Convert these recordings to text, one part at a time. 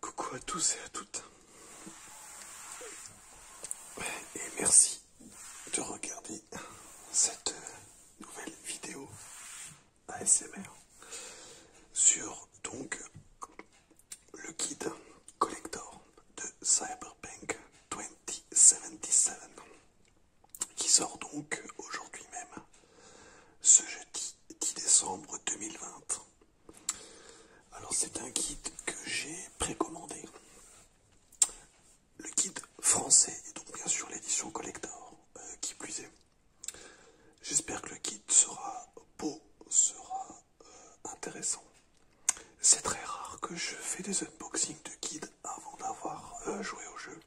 Coucou à tous et à toutes. Et merci de regarder cette nouvelle vidéo ASMR sur donc le guide collector de Cyberpunk 2077 qui sort donc aujourd'hui même, ce jeudi 10 décembre 2020. Alors c'est un guide que j'ai précommandé. Le guide français et donc bien sûr l'édition collector euh, qui plus est. J'espère que le guide sera beau, sera euh, intéressant. C'est très rare que je fais des unboxings de guides avant d'avoir euh, joué au jeu.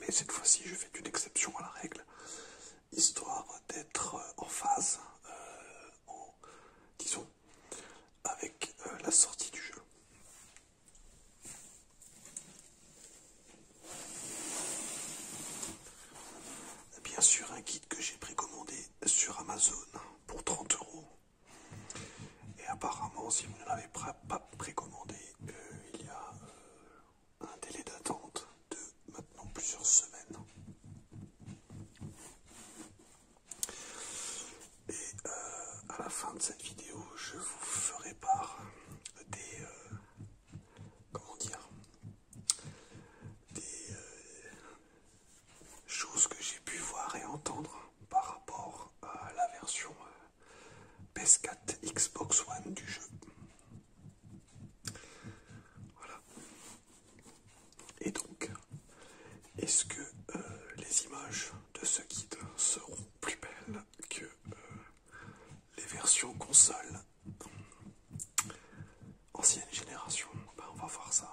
Mais cette fois-ci, je fais une exception à la règle, histoire d'être euh, en phase, euh, disons, avec euh, la sortie du jeu. Bien sûr, un kit que j'ai précommandé sur Amazon pour 30 euros. Et apparemment, si vous ne l'avez pas précommandé, il y a un délai d'attente de maintenant plusieurs semaines. Et euh, à la fin de cette vidéo, je vous ferai part des... Euh, comment dire Des euh, choses que j'ai pu voir et entendre par rapport à la version PS4, Xbox One du jeu. Voilà. Et donc, est-ce que euh, les images de ce guide seront plus belles que euh, les versions console ancienne génération ben, On va voir ça.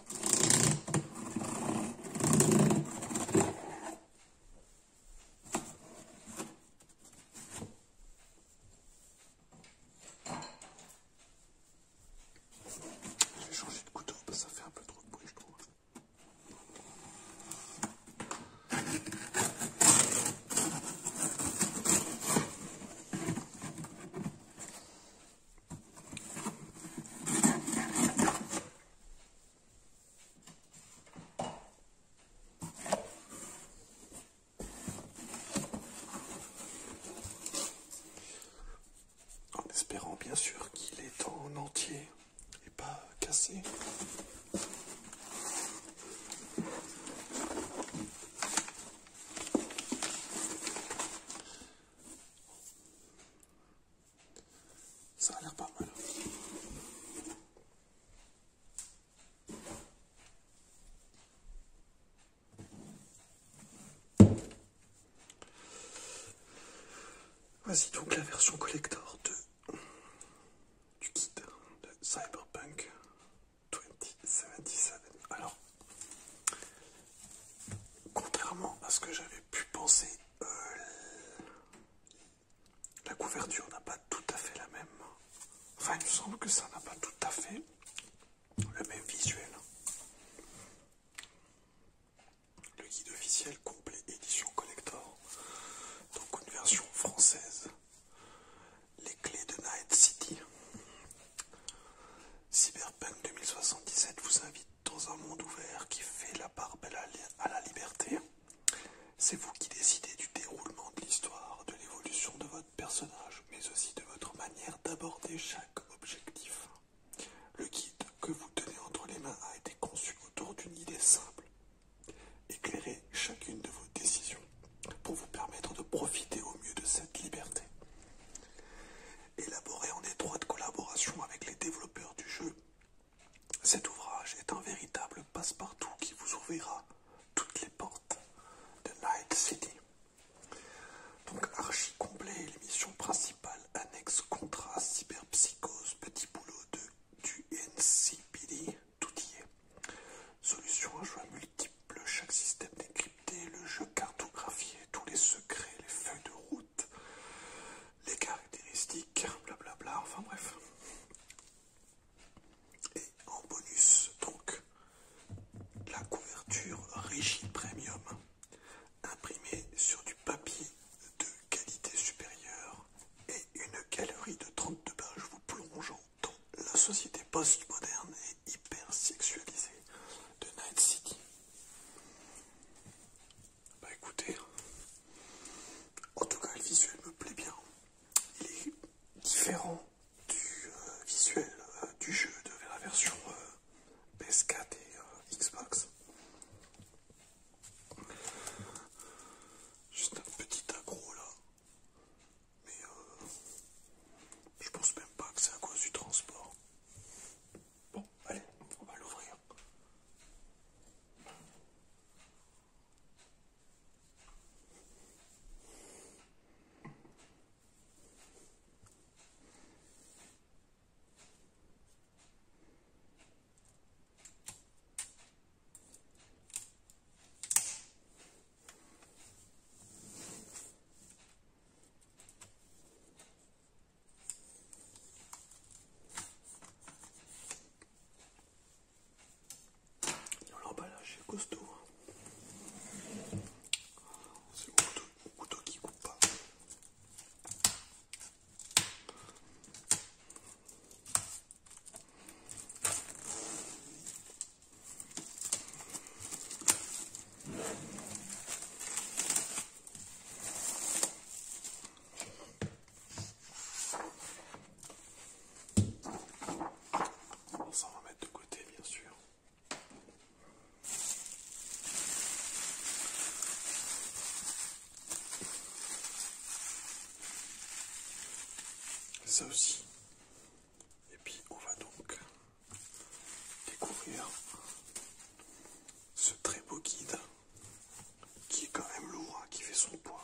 Je vais changer de couteau parce que ça fait un peu trop de bruit, je trouve. En espérant bien sûr qu'il est en entier et pas cassé. Ça a l'air pas mal. Voici donc la version collector de, du Cyberpunk 2077. Alors, contrairement à ce que j'avais pu penser, euh, la couverture n'a pas tout à fait la même. Enfin, il me semble que ça n'a pas tout à fait le même visuel. Le guide officiel complet édition collector. Donc une version française. Les clés de Night City. Cyberpunk 2077 vous invite dans un monde ouvert qui fait la part belle à la liberté. C'est vous qui décidez du déroulement de l'histoire, de l'évolution de votre personnage, mais aussi de votre manière d'aborder chaque objectif. Le guide que vous tenez entre les mains a été conçu autour d'une idée simple. Éclairez chacune de vos décisions pour vous permettre de profiter au mieux de cette liberté. Élaboré en étroite collaboration avec les développeurs du jeu, cet ouvrage est un véritable passe-partout qui vous ouvrira toutes les portes de Night City. Donc archi complet, l'émission principale, annexe, contrat, cyberpsychose, petit boulot de, du tout y est. Solution à jeu multiple, multiples, chaque système décrypté, le jeu cartographié, tous les secrets, les feuilles de route, les caractéristiques, blablabla, enfin bref. Et en bonus, donc, la couverture rigide Premium, imprimée sur du papier de qualité supérieure et une galerie de 32 pages vous plongeant dans la société postmoderne et hyper sexualisée de Night City. Bah écoutez, en tout cas le visuel me plaît bien. Il est différent du euh, visuel euh, du jeu de la version euh, PS4 et Xbox. Juste un petit agro là. Mais je pense même pas que c'est à cause du transport. Bon, allez, on va l'ouvrir. L'emballage est costaud. Hein. C'est mon couteau, couteau qui coupe pas. On s'en va mettre de côté, bien sûr. Ça aussi. Et puis on va donc découvrir ce très beau guide qui est quand même lourd, hein, qui fait son poids.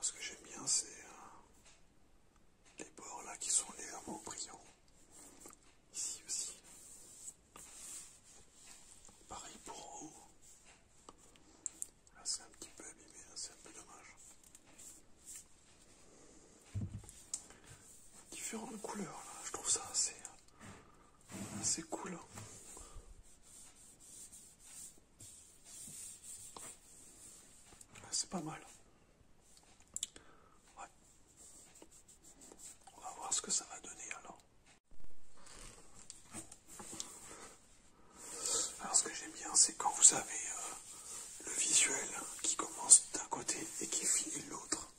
ce que j'aime bien, c'est euh, les bords là qui sont légèrement brillants. Ici aussi. Pareil pour en haut. Là, c'est un petit peu abîmé, c'est un peu dommage. Différentes couleurs, je trouve ça assez euh, c'est cool. Hein. Ah, c'est pas mal. On va voir ce que ça va donner alors. Alors ce que j'aime bien, c'est quand vous avez euh, le visuel qui commence d'un côté et qui finit de l'autre.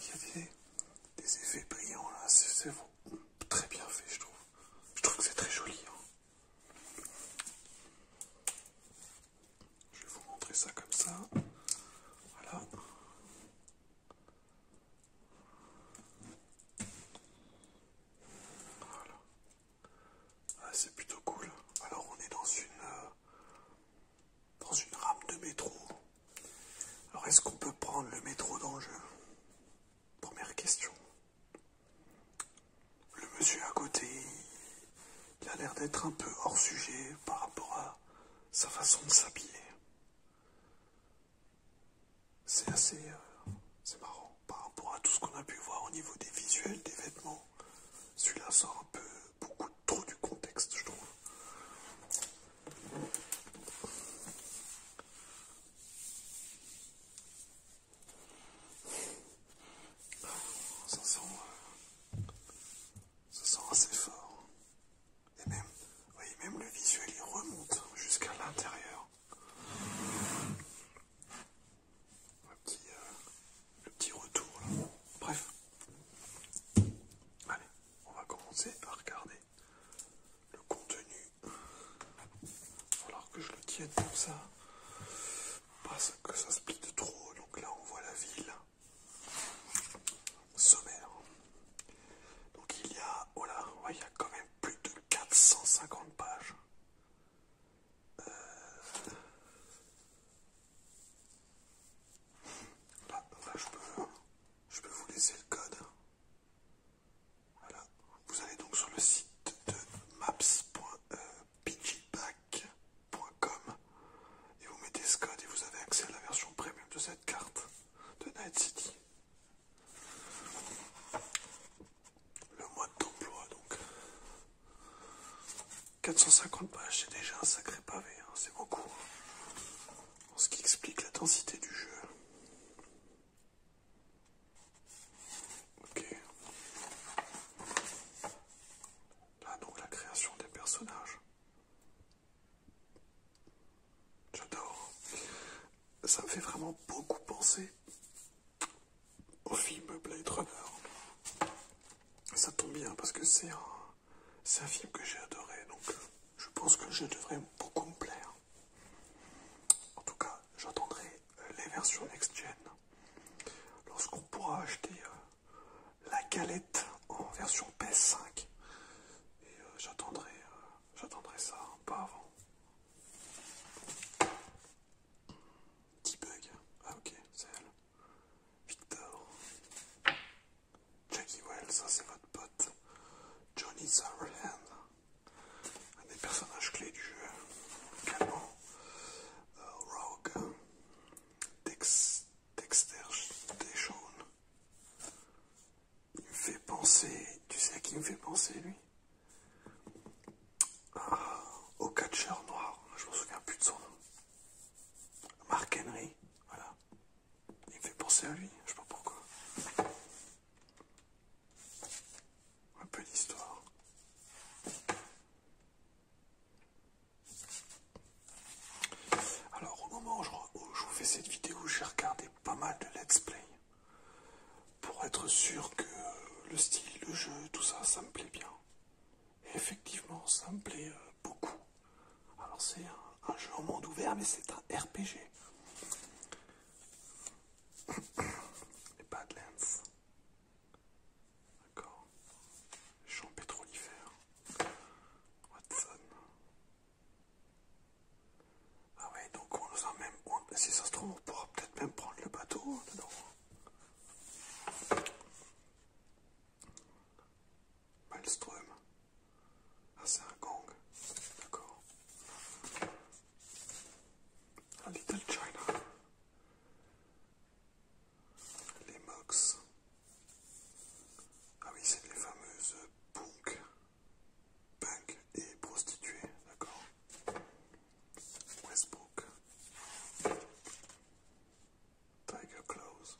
Il y a des, effets brillants là, c'est très bien fait je trouve. Je trouve que c'est très joli. Hein. Je vais vous montrer ça comme ça. Voilà. Voilà. Ah, c'est plutôt cool. Alors on est dans une... Euh, dans une rame de métro. Alors est-ce qu'on peut prendre le métro dans Première question. Le monsieur à côté, il a l'air d'être un peu hors sujet par rapport à sa façon de s'habiller. C'est assez... Euh, marrant par rapport à tout ce qu'on a pu voir au niveau des visuels, des vêtements. Celui-là sort un peu beaucoup trop du contexte, je trouve. Ça sent, ça assez fort. Et même, voyez, même le visuel, il remonte jusqu'à l'intérieur. Le petit, euh, le petit retour là. Bref. Allez, on va commencer à regarder le contenu. Alors que je le tienne comme ça, parce que ça se de trop. Donc là, on voit la ville sommaire. Donc il y a, oh là, il y a quand même plus de 450 pages. Euh, bah, je, peux, vous laisser le code. Hein. Vous allez donc sur le site de maps.piggyback.com euh, et vous mettez ce code et vous avez accès à la version premium de cette carte de Night City. Le mode d'emploi donc. 450 pages, c'est déjà un sacré pavé, hein, c'est beaucoup. Ce qui explique la densité du jeu. Ok. Là donc la création des personnages. J'adore. Ça me fait vraiment beaucoup penser au film Blade Runner. Ça tombe bien parce que c'est un c'est un film que j'ai adoré, donc euh, je pense que je devrais beaucoup me plaire. En tout cas, j'attendrai euh, les versions next-gen. Lorsqu'on pourra acheter euh, la galette en version PS5, et j'attendrai ça, pas avant. Petit bug. Ah ok, c'est elle. Victor. Jackie Wells, ça c'est votre pote. Johnny Silverhand un des personnages clés du jeu. Également, euh, Rogue, Dexter Deshawn. Il me fait penser, tu sais à qui il me fait penser lui euh, Au catcheur noir, je me souviens plus de son nom. Mark Henry, voilà. Il me fait penser à lui, je sais pas pourquoi. Un peu d'histoire. Alors au moment où je, vous fais cette vidéo, j'ai regardé pas mal de let's play. Pour être sûr que le style, le jeu, tout ça, ça me plaît bien. effectivement, ça me plaît euh, beaucoup. Alors c'est un, jeu au monde ouvert, mais c'est un RPG. Les Badlands. D'accord. Les champs pétrolifères. Watson. Ah ouais, donc on nous même... si ça se trouve, on pourra peut-être même prendre le bateau dedans. Maelstrom. Ah, c'est un gang. D'accord. Un Little China. Les Mox. Ah oui, c'est les fameuses punk. Punk et prostituées. D'accord. Westbrook. Tiger Claws.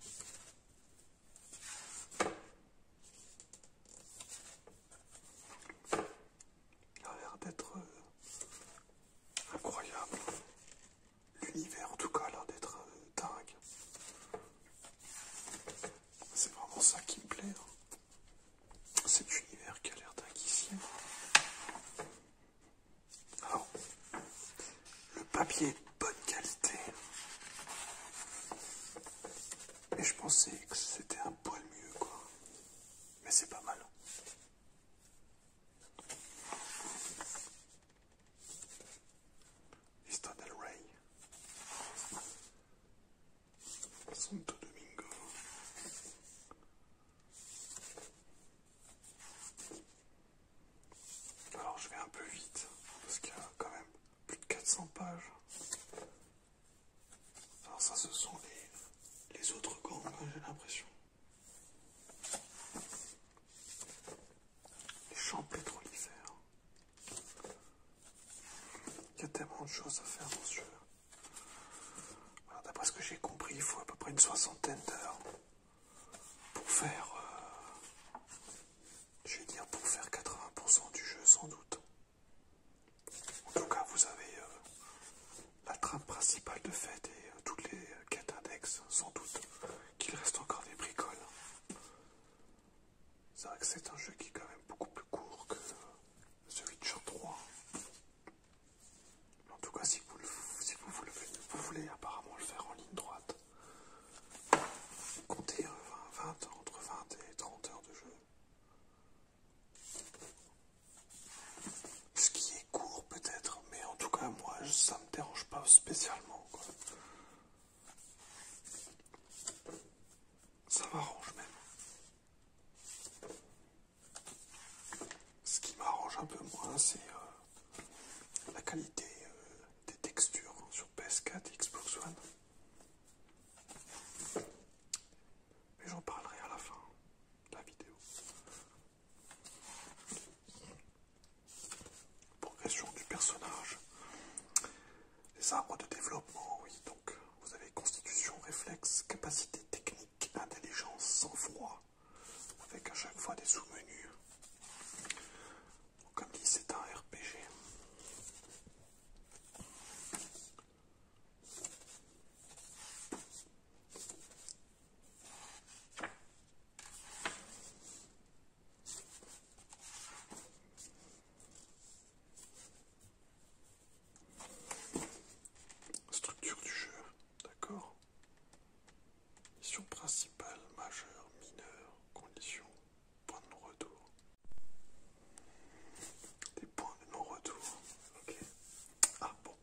Il a l'air d'être euh, incroyable. L'univers en tout cas a l'air d'être euh, dingue. C'est vraiment ça qui me plaît. Hein. Cet univers qui a l'air dingue ici. Le papier est de bonne qualité. Et je pensais que c'était un poil mieux, quoi. Mais c'est pas mal. Histoire del Rey. Santo Domingo. Alors je vais un peu vite, parce qu'il y a quand même plus de 400 pages. Alors ça ce sont les, autres gants, hein, j'ai l'impression. Les champs pétrolifères. Il y a tellement de choses à faire monsieur. ce D'après ce que j'ai compris, il faut à peu près une soixantaine d'heures pour faire, euh, je dire pour faire 80% du jeu sans doute. En tout cas, vous avez euh, la trame principale de fête et euh, toutes les quêtes index, sans doute qu'il reste encore des bricoles. C'est vrai que c'est un jeu qui est quand même beaucoup plus court que de Witcher 3. En tout cas, si vous voulez apparemment le faire en ligne droite, Comptez euh, entre 20 et 30 heures de jeu. Ce qui est court peut-être, mais en tout cas moi ça me dérange pas spécialement. Ça m'arrange même. Ce qui m'arrange un peu moins, c'est euh, la qualité euh, des textures sur PS4 et Xbox One. Mais j'en parlerai à la fin de la vidéo. Progression du personnage. Les arbres de développement, oui, donc vous avez constitution, réflexe, capacité technique, intelligence, sang-froid, avec à chaque fois des sous-menus. Comme dit, c'est un RPG. Structure du jeu, d'accord Mission principale, majeure, mineure, condition, point de non-retour. Des points de non-retour. Ok. Ah bon.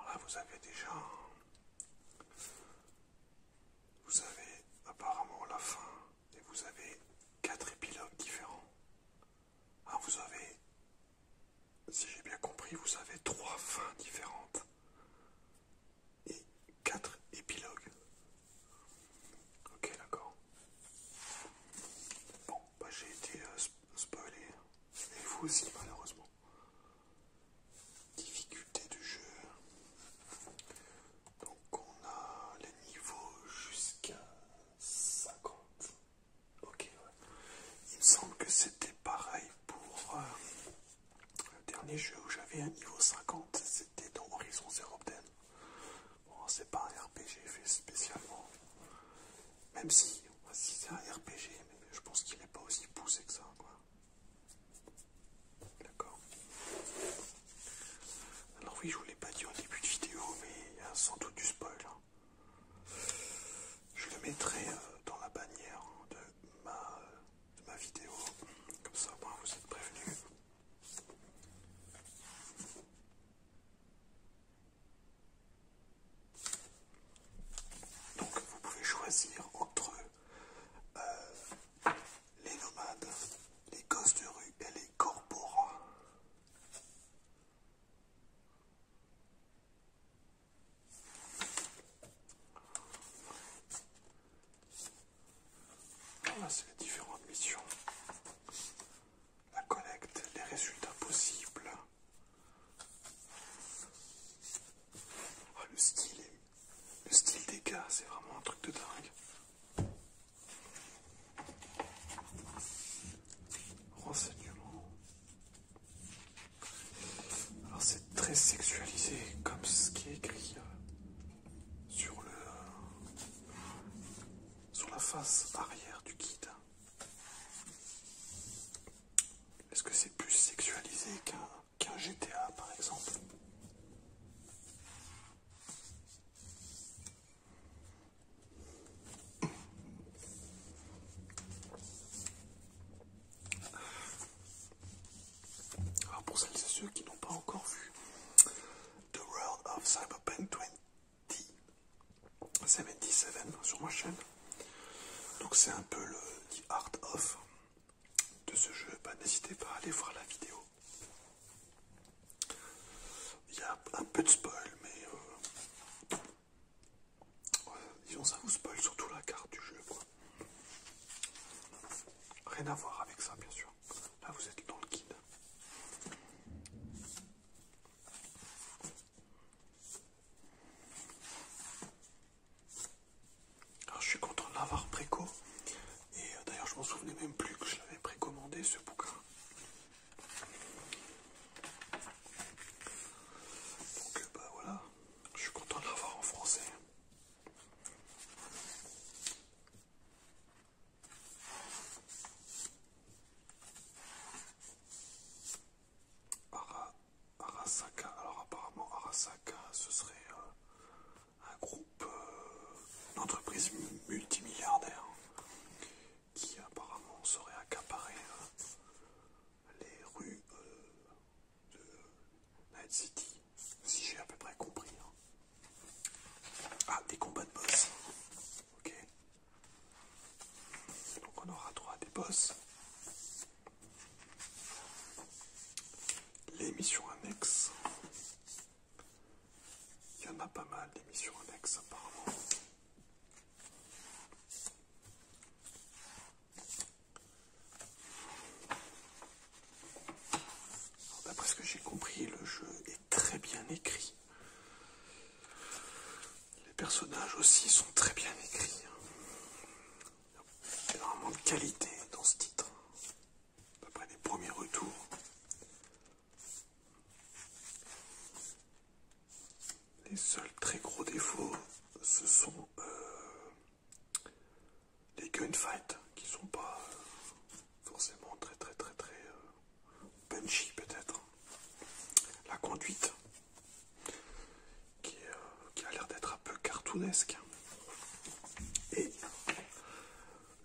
Alors là, vous avez déjà. Vous avez apparemment la fin et vous avez quatre épilogues différents. Ah, vous avez. Si j'ai bien compris, vous avez trois fins différentes et 4 épilogues. Ok, d'accord. Bon, bah, j'ai été euh, spoilé. Et vous aussi, malheureusement. Difficulté du jeu. Donc, on a les niveaux jusqu'à 50. Ok, ouais. Il me semble que c'était pareil pour. Euh, le dernier jeu où j'avais un niveau 50, c'était dans Horizon Zero Dawn. Bon, c'est pas un RPG fait spécialement. Même si, si c'est un RPG, mais je pense qu'il n'est pas aussi poussé que ça, quoi. D'accord. Alors oui, je vous l'ai pas dit au début de vidéo, mais sans doute du spoil. Hein. Je le mettrai euh, dans la bannière de ma euh, de ma vidéo. Comme ça, moi, vous êtes prévenu. Donc, vous pouvez choisir entre euh, les nomades, les gosses de rue et les corporats. Voilà, ah, c'est les différentes missions. La collecte, les résultats possibles. Oh, le style, le style des cas c'est vraiment un truc de dingue. Renseignement. Alors très sexualisé comme ce qui est écrit euh, sur le euh, sur la face arrière du guide. Est-ce que c'est plus sexualisé qu'un GTA par exemple alors pour celles et ceux qui n'ont pas encore vu The World of Cyberpunk 2077 sur ma chaîne, donc c'est un peu le art of de ce jeu, bah, n'hésitez pas à aller voir la vidéo. Il y a un peu de spoil, mais euh, disons ça vous spoil surtout la carte du jeu. Rien à voir avec ça, bien sûr. Là, vous êtes dans le guide. je suis content de l'avoir préco. Et euh, d'ailleurs, je m'en souvenais même plus que je l'avais précommandé ce bouquin. Donc, euh, bah voilà, je suis content de l'avoir en français. Arasaka, alors apparemment Arasaka ce serait euh, un groupe, d'entreprises euh, une multimilliardaire qui apparemment serait accaparé euh, les rues de euh, Night City, si j'ai à peu près compris. Hein. Ah, des combats de boss. Ok. Donc on aura droit à des boss. Les missions annexes. Il y en a pas mal d'émissions annexes apparemment. D'après ce que j'ai compris, le jeu est très bien écrit. Les personnages aussi sont très bien écrits. Hein. Il y a énormément de qualité dans ce titre. Hein. D'après les premiers retours. Les seuls très gros défauts, ce sont euh, les gunfights hein, qui sont pas euh, forcément très très très très euh, punchy peut-être. La conduite euh, qui, a l'air d'être un peu cartoonesque. Et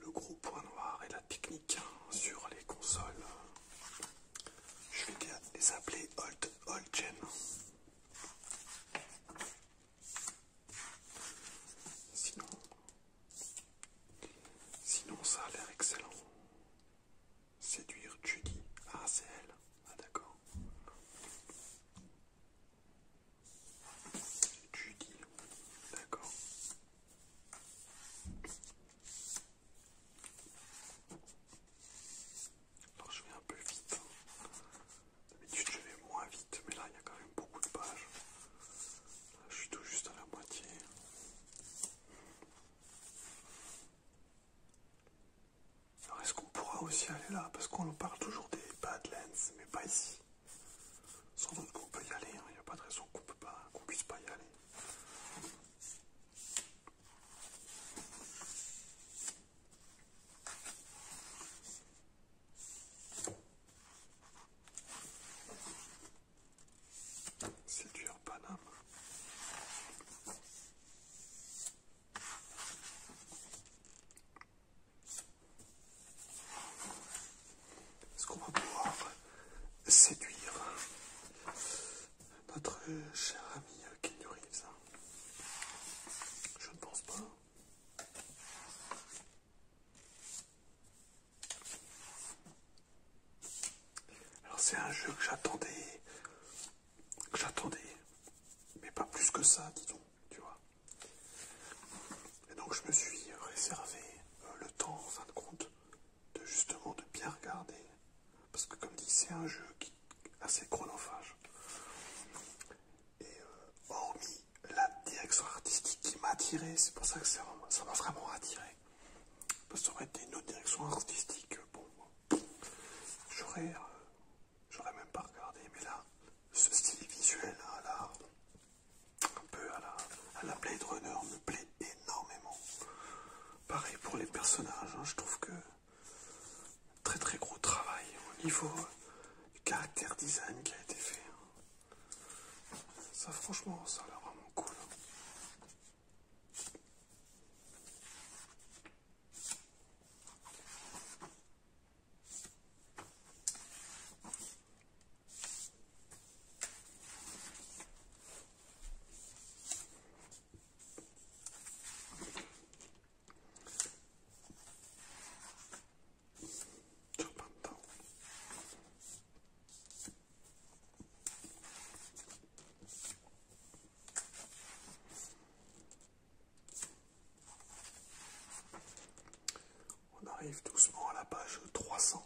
le gros point noir et la technique hein, sur les consoles. Je vais les appeler old, old gen. Sinon, sinon ça a l'air excellent. Séduire Judy. Ah, c'est elle. Ah, d'accord. Judy. D'accord. Alors je vais un peu vite. Hein. D'habitude je vais moins vite, mais là il y a quand même beaucoup de pages. je suis tout juste à la moitié. Alors est-ce qu'on pourra aussi aller là Parce qu'on parle toujours des Badlands, mais pas ici. Sans doute qu'on peut y aller, hein. il n'y a pas de raison qu'on ne puisse pas y aller séduire pas Paname. Est-ce qu'on va pouvoir séduire notre cher ami Keanu hein Je ne pense pas. Alors c'est un jeu que j'attendais, que j'attendais, mais pas plus que ça, disons, tu vois. Et donc je me suis réservé euh, le temps, en fin de compte, de justement de bien regarder, parce que comme dit, c'est un jeu qui assez chronophage. Et euh, hormis la direction artistique qui m'a attiré, c'est pour ça que ça m'a vraiment attiré. Parce que ça aurait été une autre direction artistique, bon, euh, euh, j'aurais même pas regardé, mais là, ce style visuel hein, un peu à la, Blade Runner me plaît énormément. Pareil pour les personnages, hein, je trouve que très très gros travail au niveau du caractère design qui a été fait. Ça franchement, ça a l'air vraiment cool. On arrive doucement à la page 300.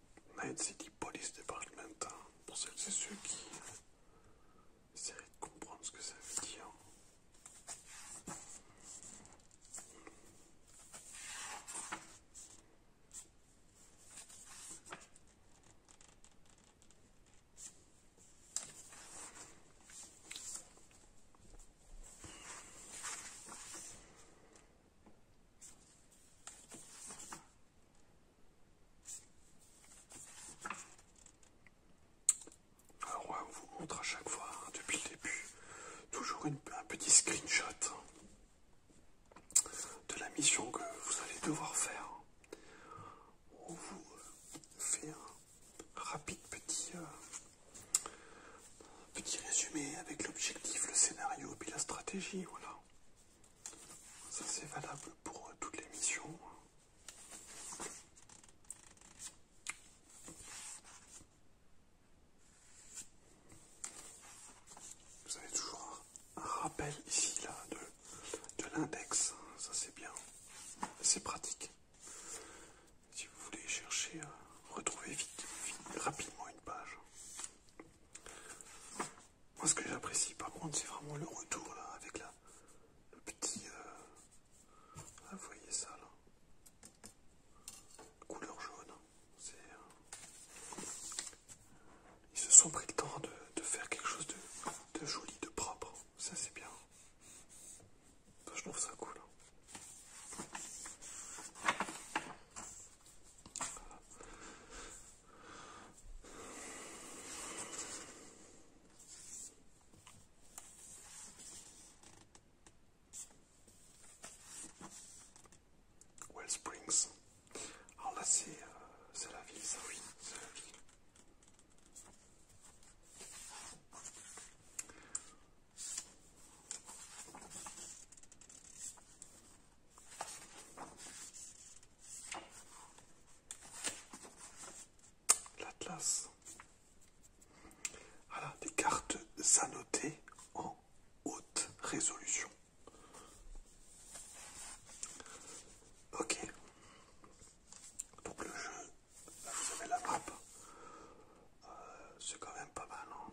Night City Police Department, hein. pour celles c'est ceux qui essaient de comprendre ce que ça veut dire. Alors on vous montre à chaque fois, hein, depuis le début, toujours un petit screenshot hein, de la mission que vous allez devoir faire. On vous fait un rapide petit, euh, petit résumé avec l'objectif, le scénario, puis la stratégie, voilà. Ça c'est valable pour euh, toutes les missions. Vous avez toujours un rappel ici là de, de l'index, ça c'est bien, c'est pratique. Si vous voulez chercher, euh, retrouver vite, rapidement une page. Moi, ce que j'apprécie, par contre, c'est vraiment le retour là, avec la, le petit. Euh, ah, vous voyez ça là. Couleur jaune. Euh, ils se sont pris le temps de, faire quelque chose de, joli, de propre. Ça, c'est bien. je trouve ça cool. Hein. Well Springs. Alors là, c'est euh, la c'est la vie c'est la vie L'Atlas. Voilà, des cartes annotées en haute résolution. Ok. Donc le jeu, vous avez la map. Euh, c'est quand même pas mal, non hein.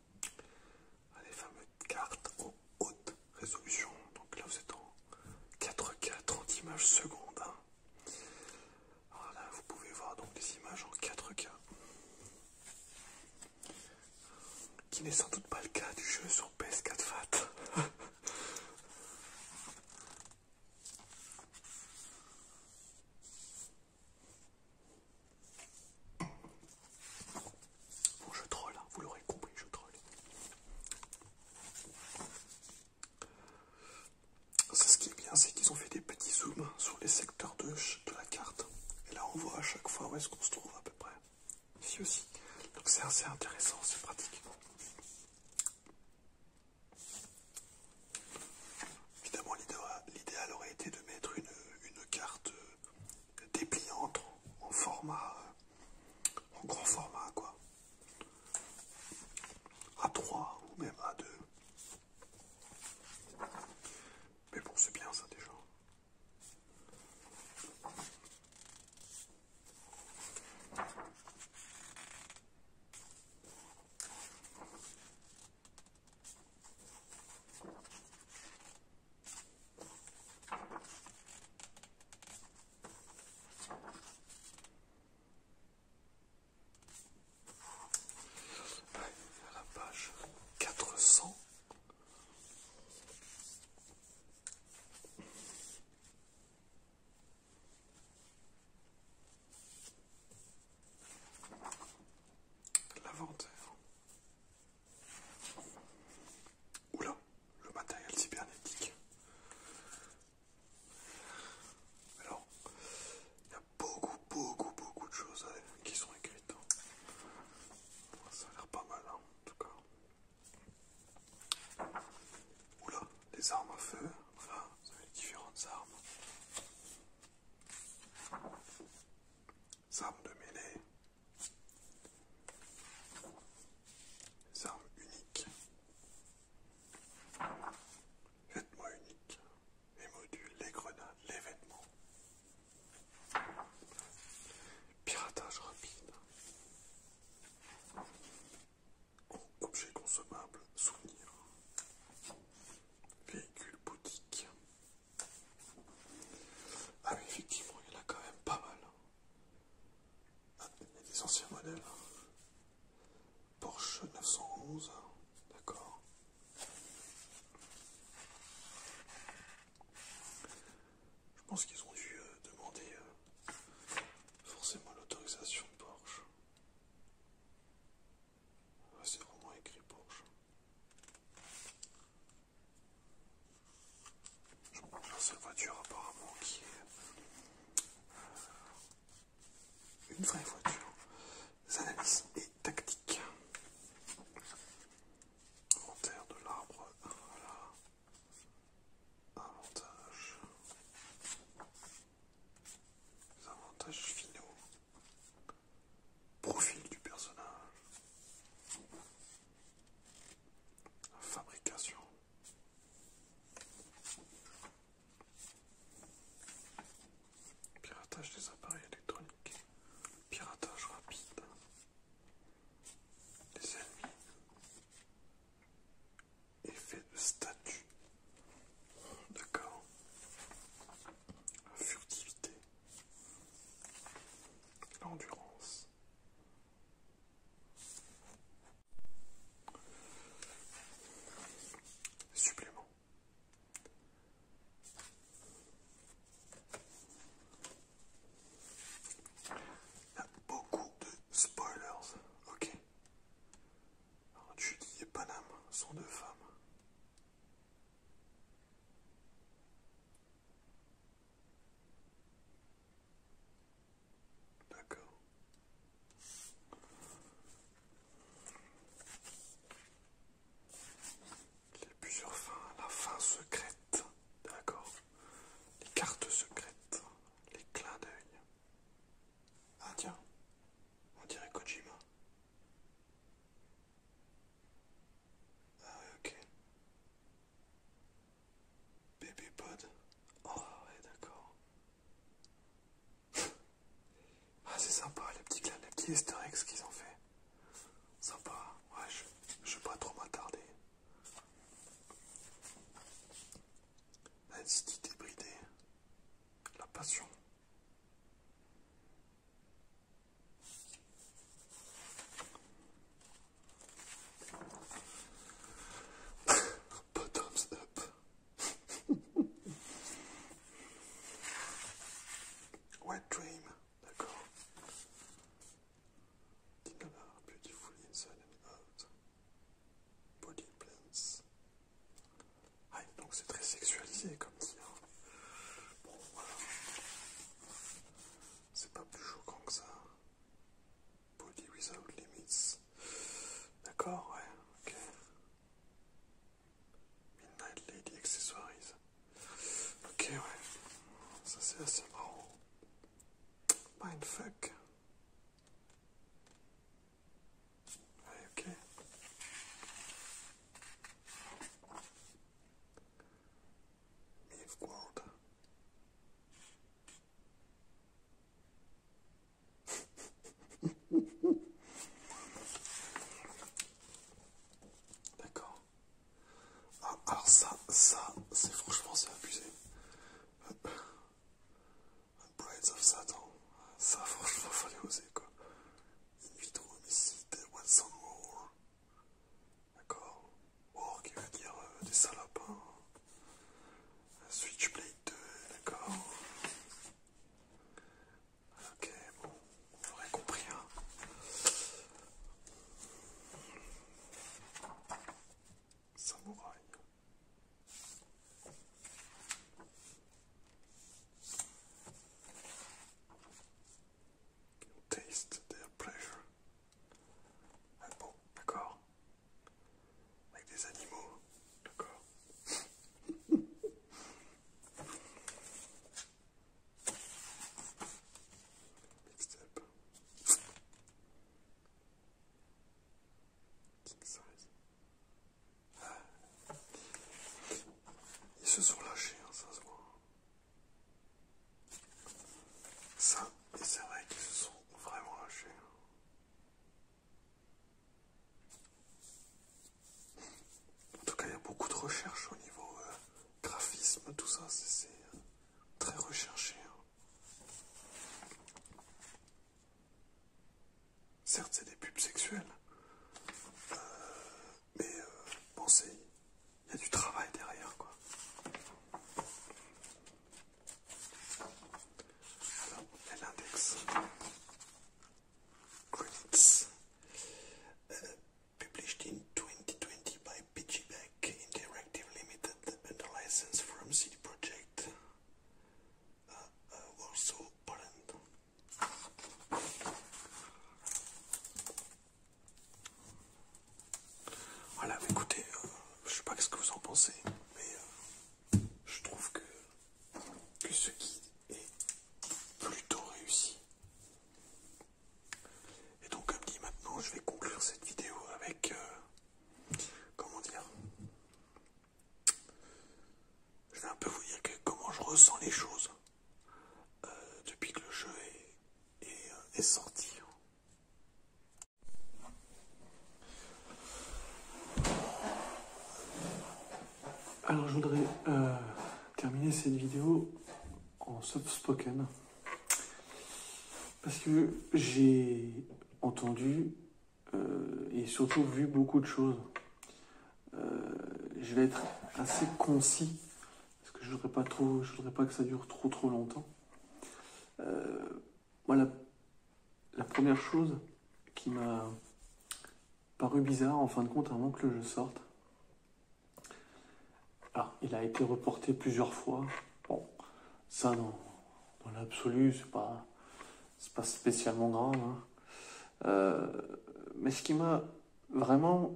Ah, les fameuses cartes en haute résolution. Donc là, vous êtes en 4K, 30 images secondes. Voilà, hein. vous pouvez voir donc des images en 4K, qui n'est sans doute pas le cas du jeu sur PS4 Fat. Bon, je troll, hein. vous l'aurez compris, je troll. ce qui est bien, c'est qu'ils ont fait des petits zooms sur les secteurs de, de la carte. Et là, on voit à chaque fois où est-ce qu'on se trouve à peu près. Ici aussi. Donc c'est assez intéressant, c'est pratique. Évidemment, l'idéal aurait été de mettre une, carte euh, dépliante en format, euh, en grand format, quoi. A3 ou même A2. Mais bon, c'est bien ça déjà la page 400 L'inventaire. Oula, le matériel cybernétique. Alors, il y a beaucoup, beaucoup, beaucoup de choses qui sont écrites. Hein. Ça a l'air pas mal, hein, en tout cas. Oula, les armes à feu. vous avez différentes armes armes de mêlée, les armes uniques, vêtements uniques, les modules, les grenades, les vêtements, piratage rapide, objets consommables, souvenirs, véhicules, boutiques, ah oui, effectivement, il y en a quand même pas mal. Hein. Ah, il y a des anciens modèles. Hein. Porsche 911, hein. d'accord. Je pense qu'ils ont dû euh, demander euh, forcément l'autorisation de Porsche. Ah, c'est vraiment écrit pour Je Je la voiture apparemment qui est euh, une vraie voiture. analyses et tactique. Inventaire de l'arbre, voilà. Avantages. avantages finaux. Profil du personnage. Fabrication. Piratage des appareils électroniques. Piratage rapide. Des ennemis. Effet de statut. D'accord. Furtivité. L'endurance. Supplément. Il y a beaucoup de spoilers, ok. tu Judy et Panam sont deux femmes. D'accord. Il a plusieurs fins. La fin secrète. D'accord. Les cartes secrètes. Les clins d'œil. Ah tiens. On dirait Kojima. Ah, ah ouais, ok. Baby pod. Oh ouais, d'accord. ah c'est sympa, les petits clans, les petits easter eggs qu'ils ont fait. Sympa, ouais, je, je vais pas trop m'attarder. L'intensité débridée, la passion. Put thumbs up. Wet dream, d'accord. Dinner beautifully inside and out. Body plants. Ah, donc c'est très sexualisé comme hein. Bon, voilà. C'est pas plus choquant que ça. Body without limits. D'accord, ouais, ok. Midnight Lady Accessories. Ok, ouais. Ça c'est assez marrant. Mindfuck. Ouais, ok. D'accord. Ah, alors ça, ça, c'est franchement, c'est abusé. Blades of Satan, ça franchement fallait oser quoi. J'ai trouvé ici Once and more D'accord Or, qui veut dire des salopins. Switchblade 2, d'accord Ok, bon, vous aurez compris, hein Samouraï. taste their pleasure. Ah d'accord. Avec des animaux, d'accord. Mixed up. King size. Ils se sont lâchés, hein, ça Ça, c'est vrai qu'ils se sont vraiment lâchés. En tout cas, il y a beaucoup de recherches au niveau euh, graphisme, tout ça, c'est euh, très recherché. Hein. Certes, c'est des pubs sexuelles. Euh, mais pensez, euh, il y a du travail derrière, quoi. Alors, l'index Credits euh, published in 2020 by PGBack Interactive Limited under license from CD Project Warsaw, uh, uh, Poland. Voilà, écoutez, je euh, je sais pas ce que vous en pensez, mais euh, je trouve que, ce qui est plutôt réussi. Et donc, comme dit maintenant, je vais conclure cette vidéo avec, euh, comment dire, je vais un peu vous dire comment je ressens les choses. Euh, depuis que le jeu est, euh, sorti. Alors je voudrais euh, terminer cette vidéo en subspoken. spoken parce que j'ai entendu et surtout vu beaucoup de choses euh, je vais être assez concis parce que je ne pas trop, je voudrais pas que ça dure trop trop longtemps. Euh, la première chose qui m'a paru bizarre en fin de compte avant que le jeu sorte. Alors, il a été reporté plusieurs fois. Bon, ça dans, l'absolu, c'est pas, pas spécialement grave. Hein. Euh, mais ce qui m'a vraiment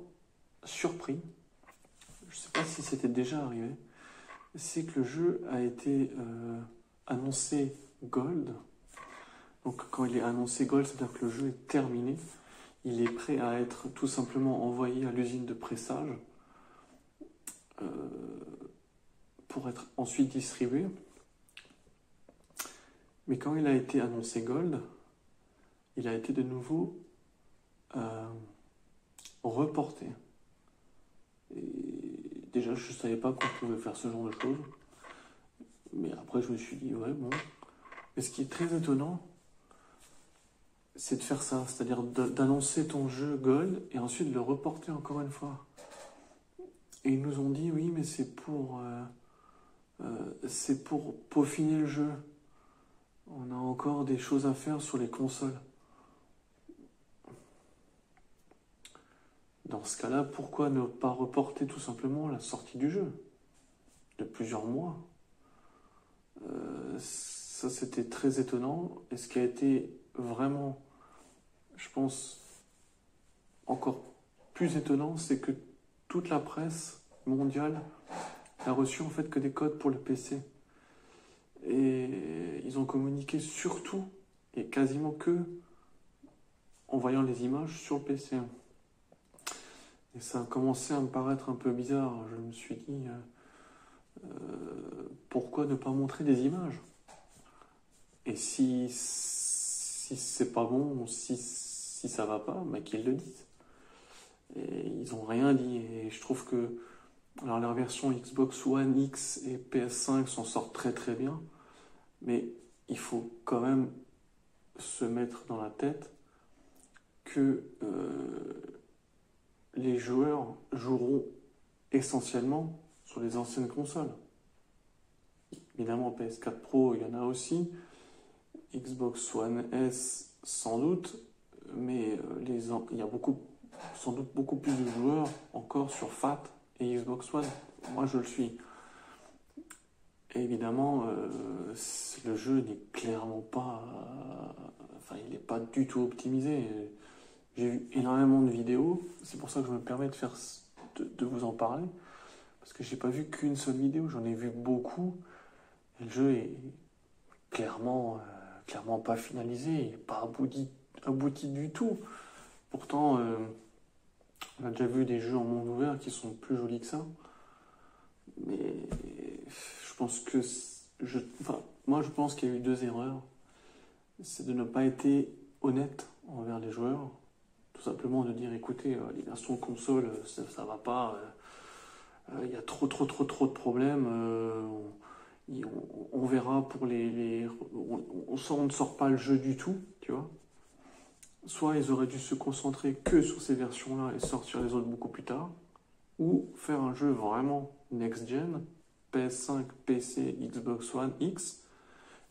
surpris, je ne sais pas si c'était déjà arrivé, c'est que le jeu a été euh, annoncé gold. Donc quand il est annoncé gold, c'est-à-dire que le jeu est terminé. Il est prêt à être tout simplement envoyé à l'usine de pressage euh, pour être ensuite distribué. Mais quand il a été annoncé gold, il a été de nouveau euh, reporté. Et déjà, je ne savais pas qu'on pouvait faire ce genre de choses. Mais après, je me suis dit, ouais, bon. Mais ce qui est très étonnant, c'est de faire ça, c'est-à-dire d'annoncer ton jeu Gold et ensuite de le reporter encore une fois. Et ils nous ont dit, oui, mais c'est pour. Euh, euh, c'est pour peaufiner le jeu. On a encore des choses à faire sur les consoles. Dans ce cas-là, pourquoi ne pas reporter tout simplement la sortie du jeu de plusieurs mois euh, Ça, c'était très étonnant. Et ce qui a été vraiment, je pense, encore plus étonnant, c'est que toute la presse mondiale n'a reçu en fait que des codes pour le PC. Et ils ont communiqué surtout et quasiment que en voyant les images sur le PC. Et ça a commencé à me paraître un peu bizarre. Je me suis dit, euh, euh, pourquoi ne pas montrer des images Et si, si c'est pas bon, si si ça va pas, qu'ils le disent. ils n'ont rien dit. Et je trouve que leur version Xbox One X et PS5 s'en sortent très très bien. Mais il faut quand même se mettre dans la tête que euh, les joueurs joueront essentiellement sur les anciennes consoles. Évidemment, PS4 Pro, il y en a aussi. Xbox One S, sans doute. Mais euh, les, il y a beaucoup, sans doute beaucoup plus de joueurs encore sur FAT et Xbox One. Moi, je le suis. évidemment, euh, le jeu n'est clairement pas. Euh, enfin, il n'est pas du tout optimisé. J'ai vu énormément de vidéos. C'est pour ça que je me permets de faire de, vous en parler. Parce que j'ai pas vu qu'une seule vidéo, j'en ai vu beaucoup. Et le jeu est clairement, euh, clairement pas finalisé, pas abouti, du tout. Pourtant, euh, on a déjà vu des jeux en monde ouvert qui sont plus jolis que ça. Mais je pense que. Je, moi, je pense qu'il y a eu deux erreurs. C'est de ne pas être honnête envers les joueurs tout simplement de dire écoutez, euh, les versions console, euh, ça, va pas, euh, il y a trop, trop, trop, trop de problèmes. On, verra pour les. ne sort pas le jeu du tout, tu vois soit ils auraient dû se concentrer que sur ces versions-là et sortir les autres beaucoup plus tard, ou faire un jeu vraiment next-gen, PS5, PC, Xbox One X,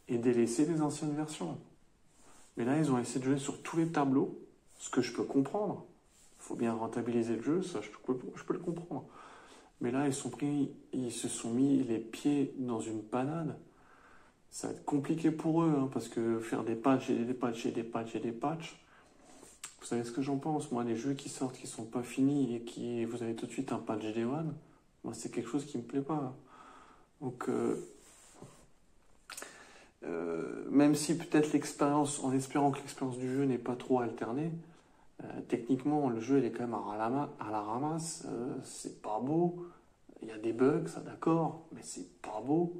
et délaisser les anciennes versions. Mais là, ils ont essayé de jouer sur tous les tableaux, ce que je peux comprendre. Il faut bien rentabiliser le jeu, ça, je peux, le comprendre. Mais là, ils sont pris, ils se sont mis les pieds dans une panade. Ça va être compliqué pour eux, hein, parce que faire des patchs et des patchs et des patchs et des patchs, vous savez ce que j'en pense, moi, les jeux qui sortent, qui sont pas finis et qui vous avez tout de suite un patch des one, moi, c'est quelque chose qui me plaît pas. Donc, euh, même si peut-être l'expérience, en espérant que l'expérience du jeu n'est pas trop alternée, euh, techniquement le jeu il est quand même à la, ramasse, euh, c'est pas beau, il y a des bugs, ça d'accord, mais c'est pas beau,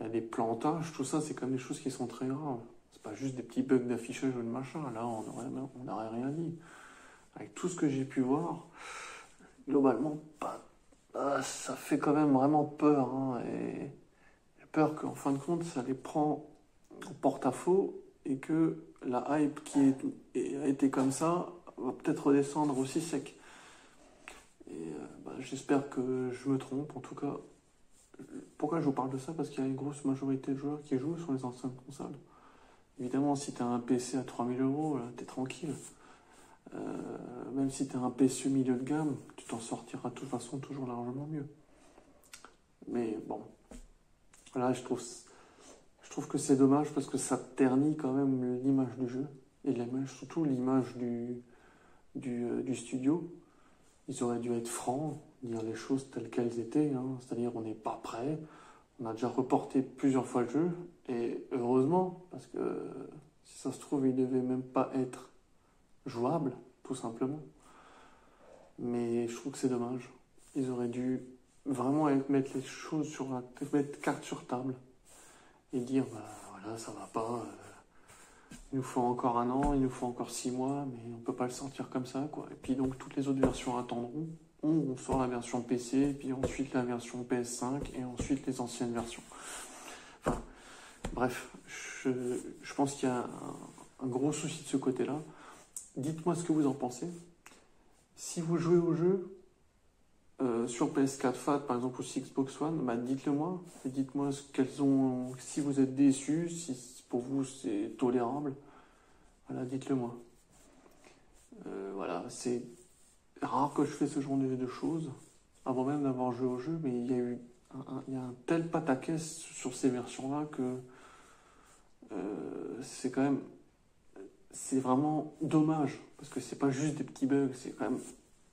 il y a des plantages, tout ça c'est quand même des choses qui sont très graves. C'est pas juste des petits bugs d'affichage ou de machin, là on n'aurait rien dit. Avec tout ce que j'ai pu voir, globalement pas ah, ça fait quand même vraiment peur. Hein, et j'ai peur qu'en fin de compte, ça les prend au porte-à-faux et que la hype qui a été comme ça va peut-être redescendre aussi sec. Et euh, bah, j'espère que je me trompe. En tout cas, pourquoi je vous parle de ça Parce qu'il y a une grosse majorité de joueurs qui jouent sur les anciennes consoles. Évidemment, si tu un PC à 3000 euros, t'es tranquille. Euh, même si tu un PSU milieu de gamme, tu t'en sortiras de toute façon toujours largement mieux. Mais bon, là je trouve, je trouve que c'est dommage parce que ça ternit quand même l'image du jeu et surtout l'image du, euh, du, studio. Ils auraient dû être francs, dire les choses telles qu'elles étaient, hein. c'est-à-dire on n'est pas prêt, on a déjà reporté plusieurs fois le jeu et heureusement parce que si ça se trouve, il devait même pas être jouable, tout simplement. Mais je trouve que c'est dommage. Ils auraient dû vraiment mettre les choses sur la mettre carte sur table et dire bah voilà ça va pas euh, il nous faut encore un an il nous faut encore six mois mais on peut pas le sortir comme ça quoi et puis donc toutes les autres versions attendront on, sort la version PC puis ensuite la version PS5 et ensuite les anciennes versions bref, je, pense qu'il y a un, gros souci de ce côté-là. Dites-moi ce que vous en pensez. Si vous jouez au jeu euh, sur PS4 Fat, par exemple, ou Xbox One, bah, dites-le moi. Dites-moi ont, si vous êtes déçu, si pour vous c'est tolérable. Voilà, dites-le moi. Euh, voilà, c'est rare que je fais ce genre de, choses avant même d'avoir joué au jeu, mais il y a eu un, tel pataquès sur ces versions-là que euh, c'est quand même. C'est vraiment dommage, parce que c'est pas juste des petits bugs, c'est quand même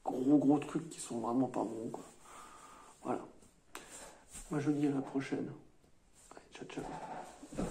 gros gros trucs qui sont vraiment pas bons. Voilà. Moi je dis à la prochaine. ciao